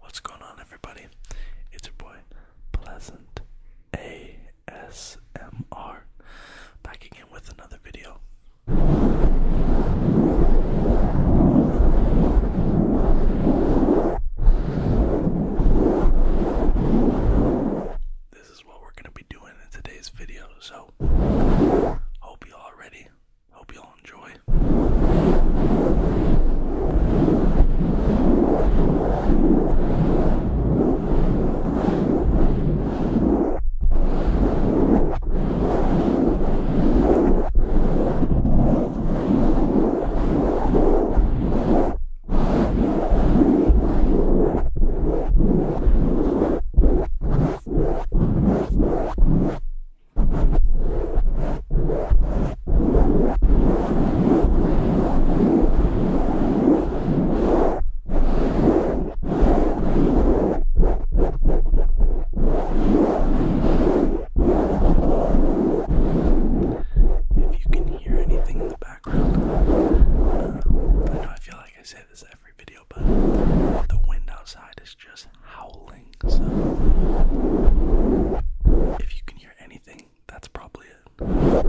What's going on, everybody? It's your boy Pleasant ASMR back again with another video this is what we're gonna be doing in today's video. So, hope you all ready. Hope you all enjoy. If you can hear anything in the background, uh, I know I feel like I say this every video, but the wind outside is just howling. So if you can hear anything, that's probably it.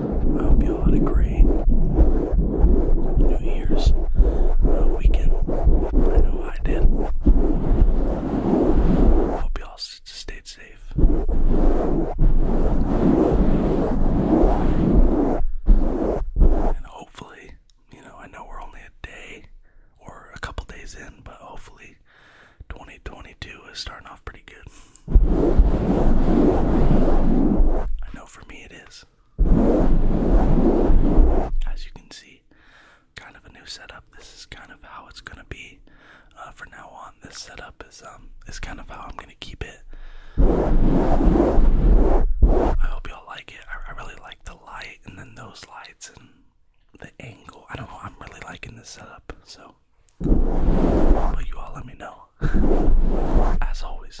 I hope you all had a great New Year's uh, weekend. I know I did. Hope you all stayed safe. And hopefully, you know, I know we're only a day or a couple days in, but hopefully 2022 is starting off pretty good. I know for me it is. As you can see, kind of a new setup. This is kind of how it's gonna be uh, for now on. This setup is um is kind of how I'm gonna keep it. I hope y'all like it. I, I really like the light and then those lights and the angle. I don't know. I'm really liking this setup. So but you all let me know. As always.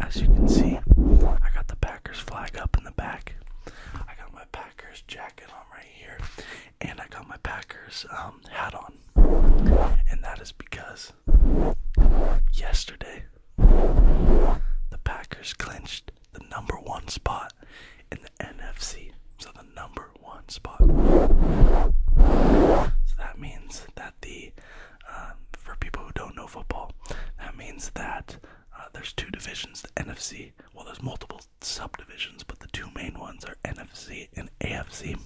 As you can see, I got the Packers flag up in the back. I got my Packers jacket on right here, and I got my Packers um, hat on. And that is because yesterday the Packers clinched the number one spot in the NFC. So the number one spot. So that means that the um, for people who don't know football, that means that uh, there's two divisions, the NFC. Well, there's multiple subdivisions, but the two main ones are NFC and AFC.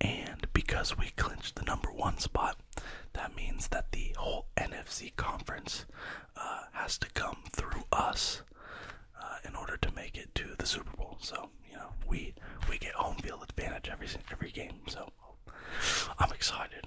And because we clinched the number one spot, that means that the whole NFC conference uh, has to come through us uh, in order to make it to the Super Bowl. So you know, we we get home field advantage every every game. So I'm excited.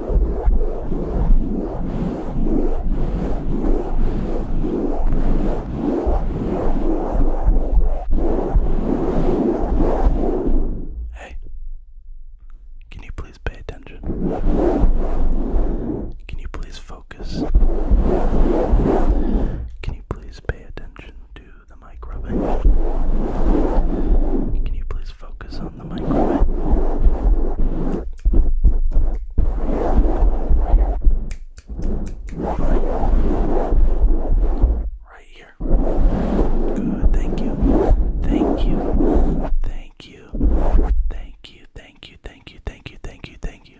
Hey, can you please pay attention? Can you please focus? Can you please pay attention to the mic rubbing? Can you please focus on the microphone. Right here. Good. Thank you. Thank you. Thank you. Thank you. Thank you. Thank you. Thank you. Thank you. Thank you.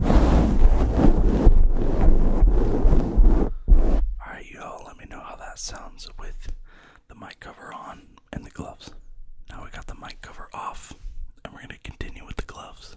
Alright, y'all, let me know how that sounds with the mic cover on and the gloves. Now we got the mic cover off, and we're going to continue with the gloves.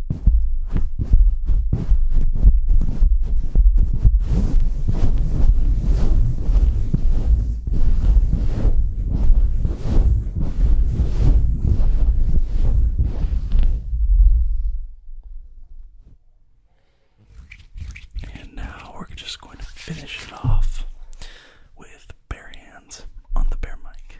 And now we're just going to finish it off with bare hands on the bare mic.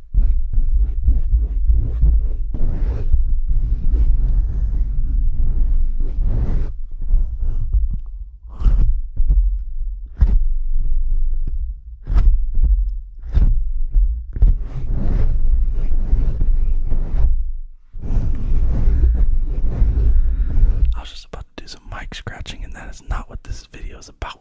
I was just about to do some mic scratching, and that is not what this video is about.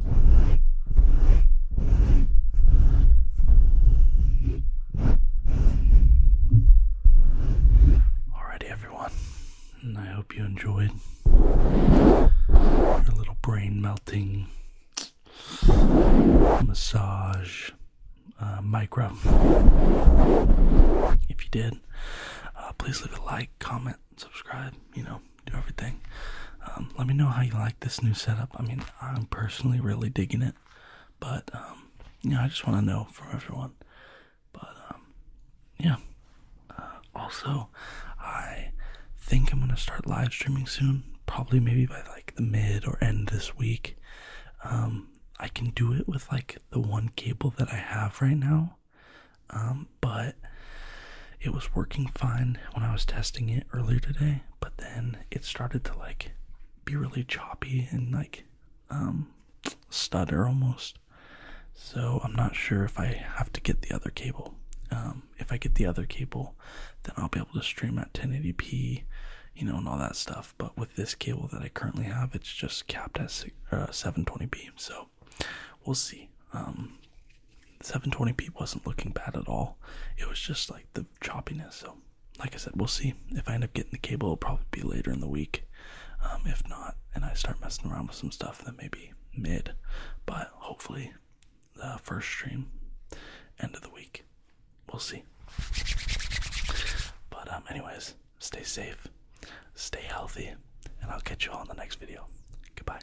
Alrighty, everyone. And I hope you enjoyed your little brain melting massage uh, micro. If you did, uh, please leave a like, comment, subscribe, you know, do everything. Um, let me know how you like this new setup. I mean, I'm personally really digging it. But um, I just want to know from everyone. But um, yeah. Uh, also, I think I'm gonna start live streaming soon. Probably maybe by like the mid or end this week. Um, I can do it with like the one cable that I have right now. Um, but it was working fine when I was testing it earlier today but then it started to like be really choppy and like um stutter almost. So I'm not sure if I have to get the other cable. Um if I get the other cable, then I'll be able to stream at 1080p, you know, and all that stuff. But with this cable that I currently have, it's just capped at 720p. Uh, so we'll see. Um 720p wasn't looking bad at all. It was just like the chopiness. So, like I said, we'll see. If I end up getting the cable, it'll probably be later in the week. Um, if not, and I start messing around with some stuff, then maybe mid. But hopefully, the first stream, end of the week. We'll see. But, um, anyways, stay safe, stay healthy, and I'll catch you all in the next video. Goodbye.